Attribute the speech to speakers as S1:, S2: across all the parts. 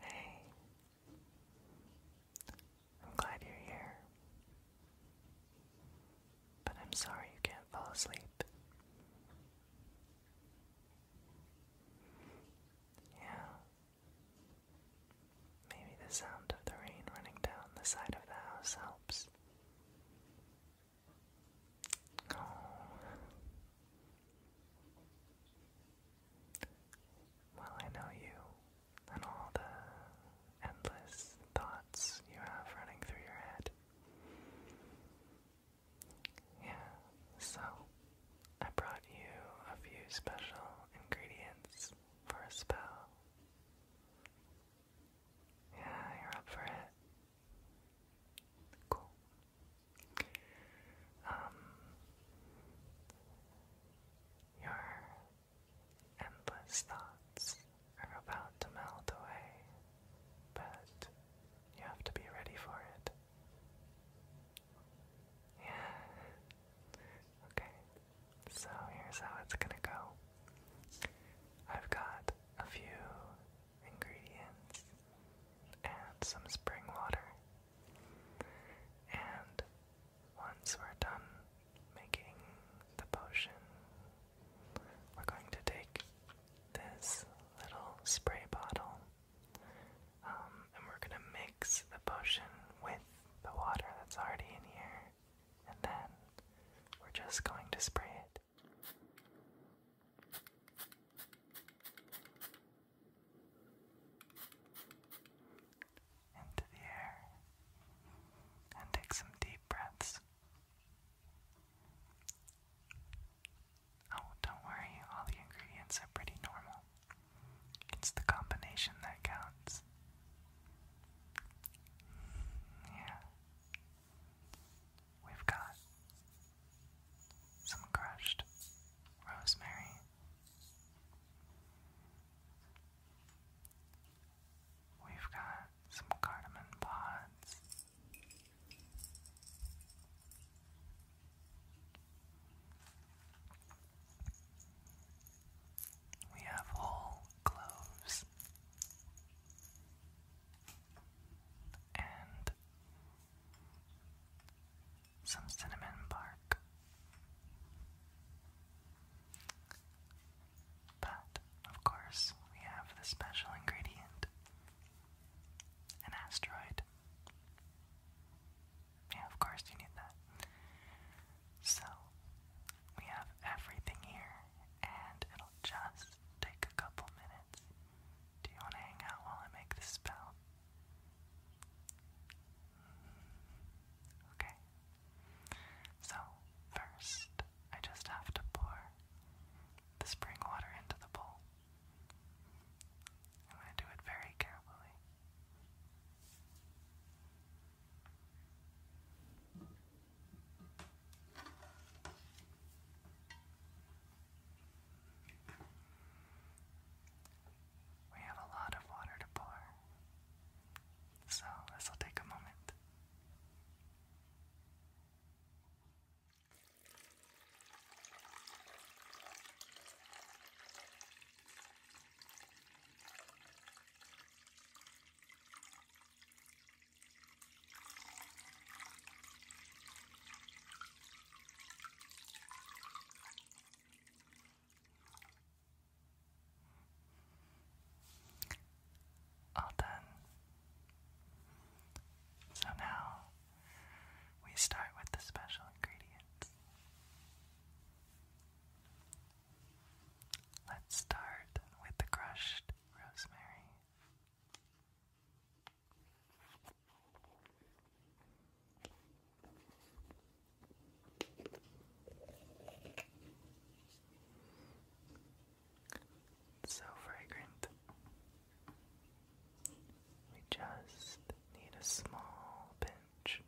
S1: Hey, I'm glad you're here. But I'm sorry you can't fall asleep. Yeah. Maybe the sound of the rain running down the side of the house helps. Oh. Well, I know you and all the endless thoughts you have running through your head. Yeah, so I brought you a few special ingredients for a spell. Yeah, you're up for it. Cool. Um, your endless thoughts are about to melt away, but you have to be ready for it. Yeah. Okay. So here's how it's gonna go. I've got a few ingredients and some spring water. And once we're done making the potion, we're going to take this little spray bottle um, and we're going to mix the potion with the water that's already in here. And then we're just going to spray it into the air and take some deep breaths. Oh, don't worry, all the ingredients are pretty normal. It's the combination that counts. Yeah. We've got some crushed rosemary. We've got some cardamom pods. We have whole cloves and some cinnamon bark. But, of course, we have the special ingredient an asteroid. Yeah, of course, you need that. So, we have everything here, and it'll just take a couple minutes do you want to hang out while I make this spell? Mm-hmm. Okay. So, first, I just have to pour the spring water into the bowl. I'm going to do it very carefully. We have a lot of water to pour, so this will take a moment. All oh, done. So now we start with the special ingredients. Let's start with the crushed rosemary so fragrant. We just need a small pinch.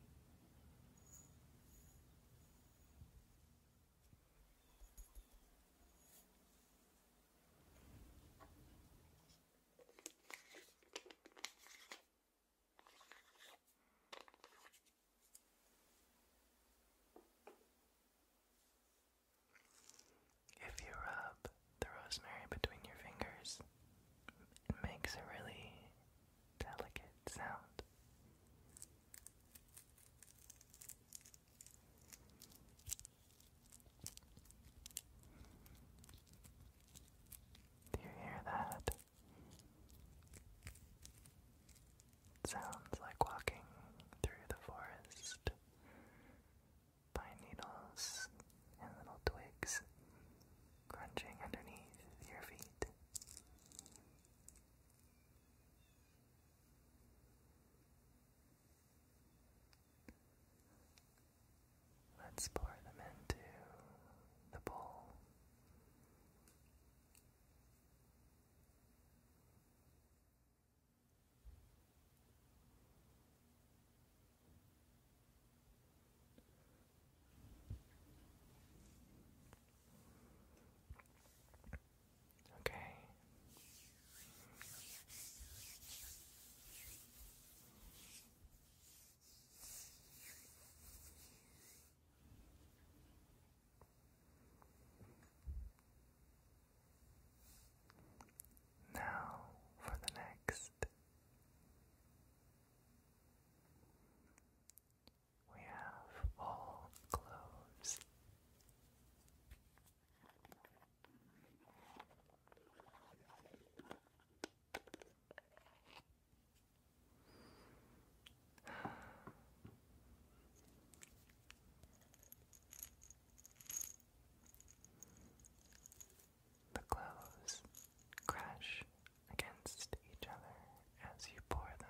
S1: If you rub the rosemary between your fingers, it makes a really delicate sound. Do you hear that? sounds like walking through the forest. Pine needles and little twigs crunching underneath your feet. Let's pour them into the bowl. Okay, now for the next. We have all clothes. The clothes crash against each other as you pour them.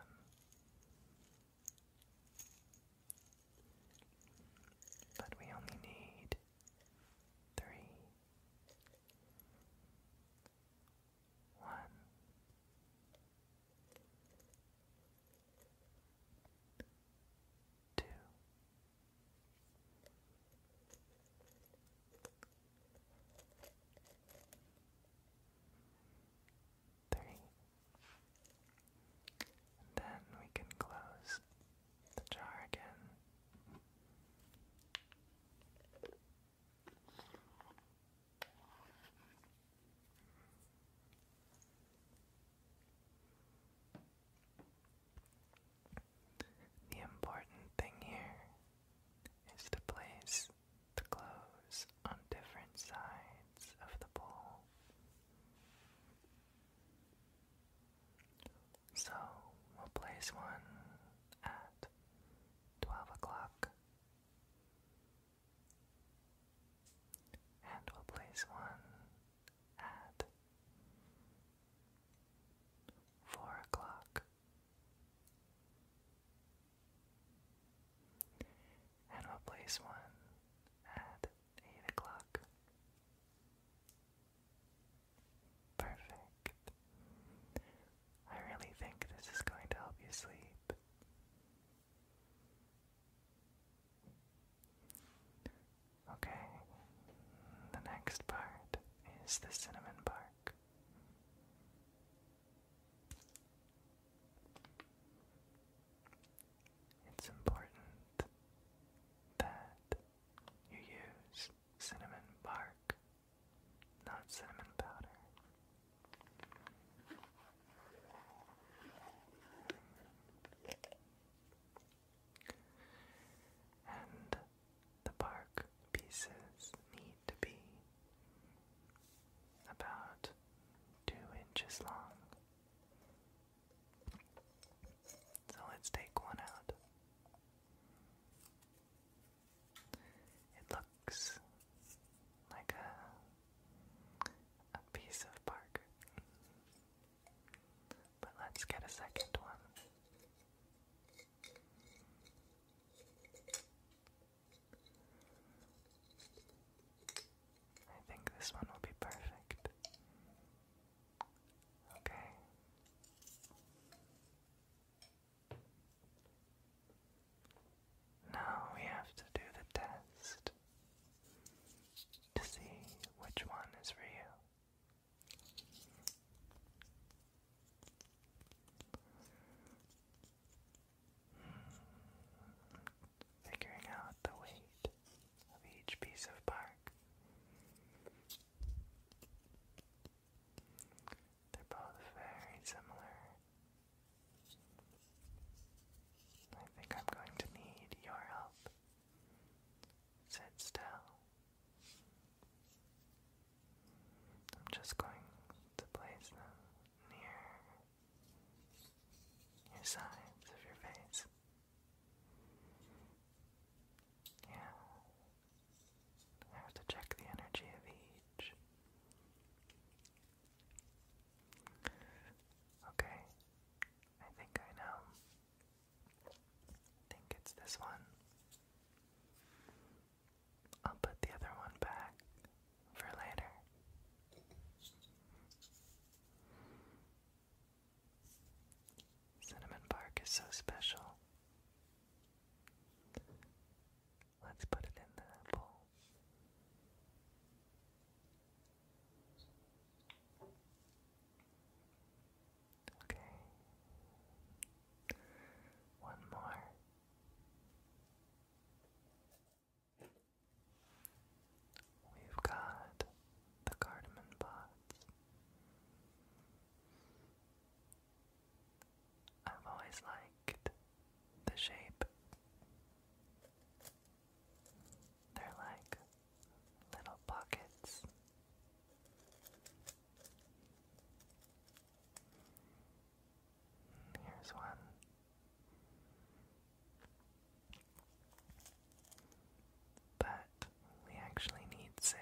S1: But we only need three. One. Then we can close the jar again. The important thing here is to place the clothes on different sides of the bowl. So we'll place one at twelve o'clock, and we'll place one at four o'clock. And we'll place one at 8 o'clock. Perfect. I really think this is going to help you sleep. Okay, the next part is the Cinnamon Bark it's important that you use cinnamon bark, not cinnamon powder. And the bark pieces need to be about two inches long so let's take one out. It looks like a a piece of bark. But let's get a second one. I think this one will be perfect. Okay. Now we have to do the test to see which one is for you figuring out the weight of each piece of bark. They're both very similar. I think I'm going to need your help. Sit still. I'm just going to place them near your sides of your face. Yeah. I have to check the energy of each. Okay. I think I know. I think it's this one. I'll put the other one back for later. Cinnamon bark is so special. Let's put it in the bowl. Okay. One more. We've got the cardamom pods. I've always liked the shape. They're like little pockets. Here's one. But we actually need six.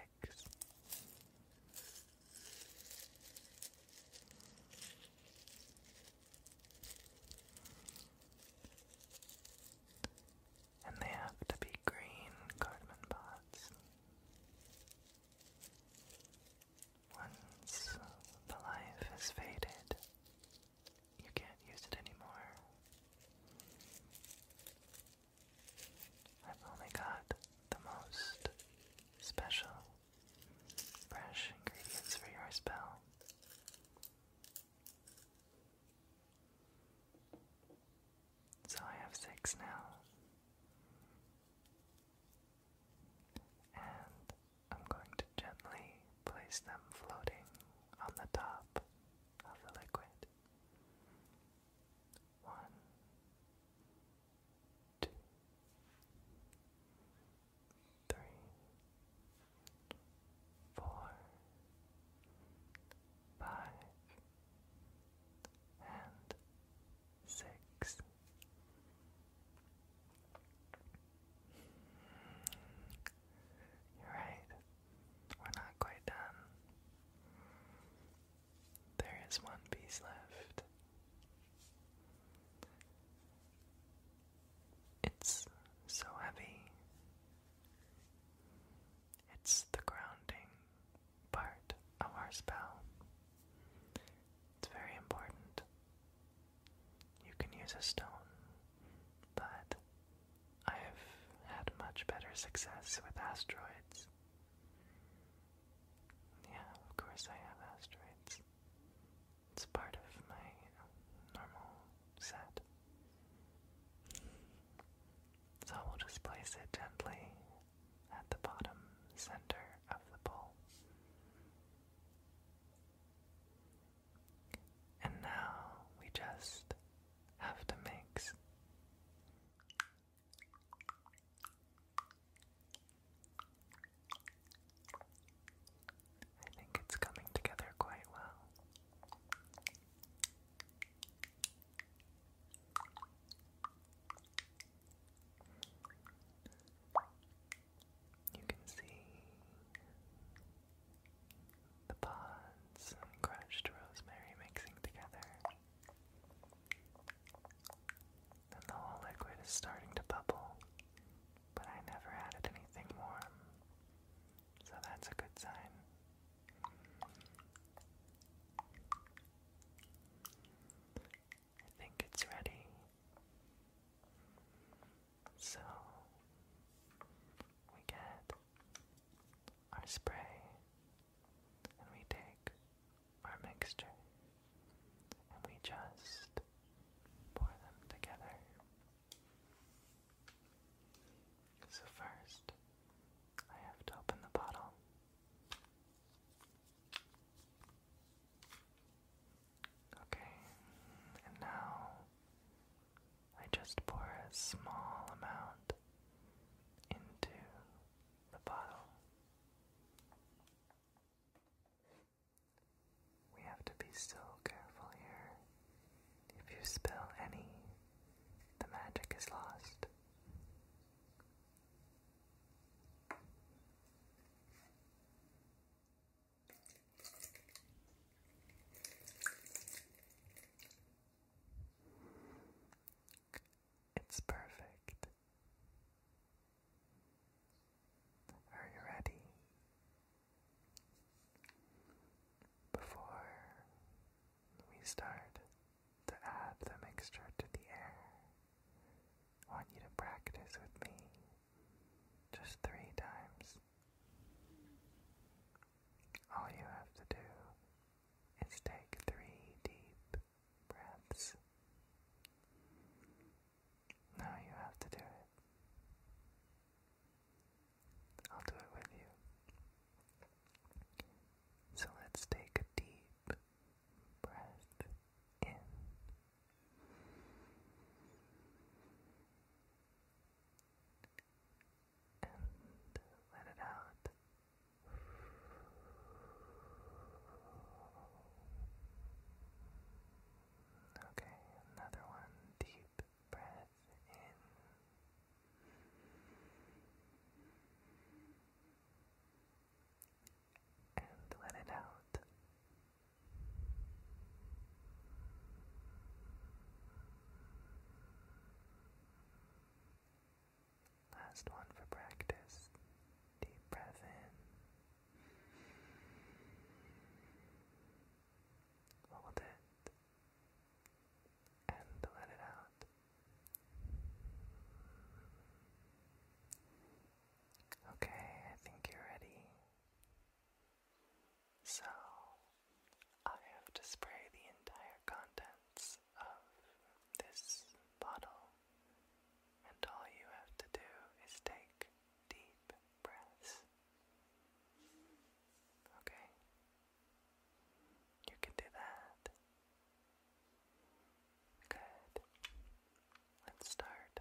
S1: And they have to be green cardamom pots. Once the life has faded, you can't use it anymore. I've only got the most special, fresh ingredients for your spell. So I have six now. And I'm going to gently place them floating on the top of the liquid. One, two, three, four, five, and six. You're right. We're not quite done. There is one piece left. It's so heavy. It's the grounding part of our spell. It's very important. You can use a stone, but I have had much better success with asteroids. Yeah, of course I have asteroids. It's part of my normal set. So we'll just place it gently at the bottom center of the bowl. And now we just have to mix. I think it's coming together quite well. You can see the pods and crushed rosemary mixing together. And the whole liquid is starting to bubble, but I never added anything warm, so that's a good sign. I think it's ready. So we get our spray and we take our mixture and we just pour them together. So first, I have to open the bottle. Okay, and now I just pour a small amount into the bottle. We have to be so careful here. If you spill any, the magic is lost. It's perfect. Are you ready? Before we start to add the mixture to the air, I want you to practice with me just three times. All you have to do is take three deep breaths. Now you have to do it. I'll do it with you. So let's take a deep breath in and let it out. Okay, another one. Deep breath in. And let it out. Last one for practice. Deep breath in. Hold it. And let it out. Okay, I think you're ready. So I have to spray the entire contents of this bottle, and all you have to do is take deep breaths. Okay? You can do that. Good. Let's start.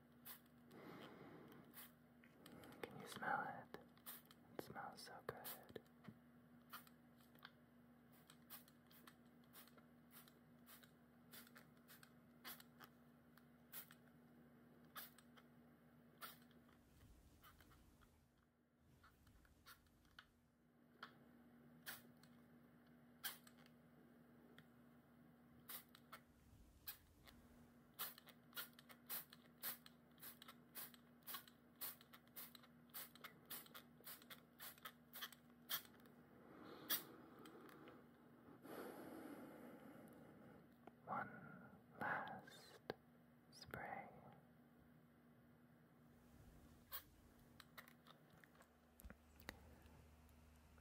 S1: Can you smell it? It smells so good. One last spray.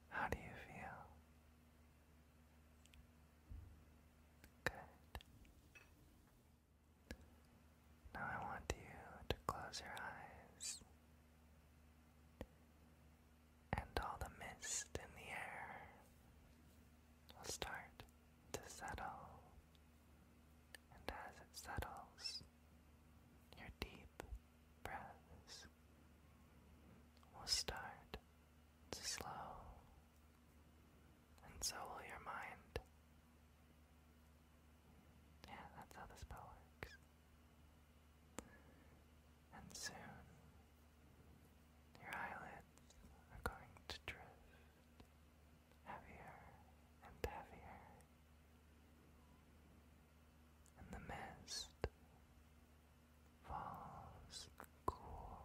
S1: How do you feel? Good. Now I want you to close your eyes. And all the mist in the air will start to settle. And as it settles, your deep breaths will start to slow, and so will your mind. Yeah, that's how the spell works. And soon, your eyelids are going to drift heavier and heavier, and the mist falls cool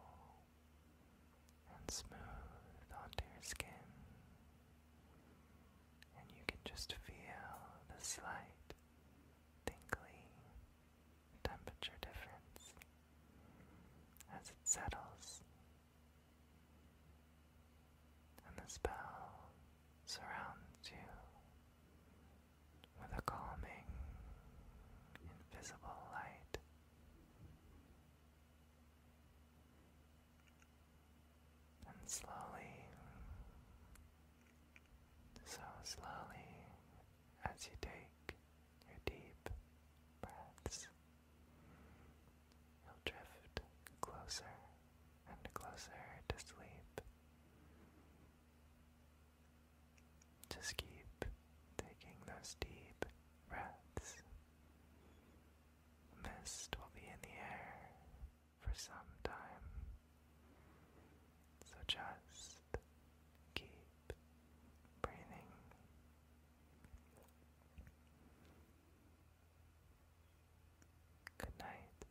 S1: and smooth onto your skin, and you can just feel the slight tingly temperature difference as it settles. And the spell surrounds you with a calming, invisible light. And slowly, so slowly, as you take your deep breaths, you'll drift closer and closer to sleep. Just keep taking those deep breaths. Mist will be in the air for some time. So just keep breathing. Good night.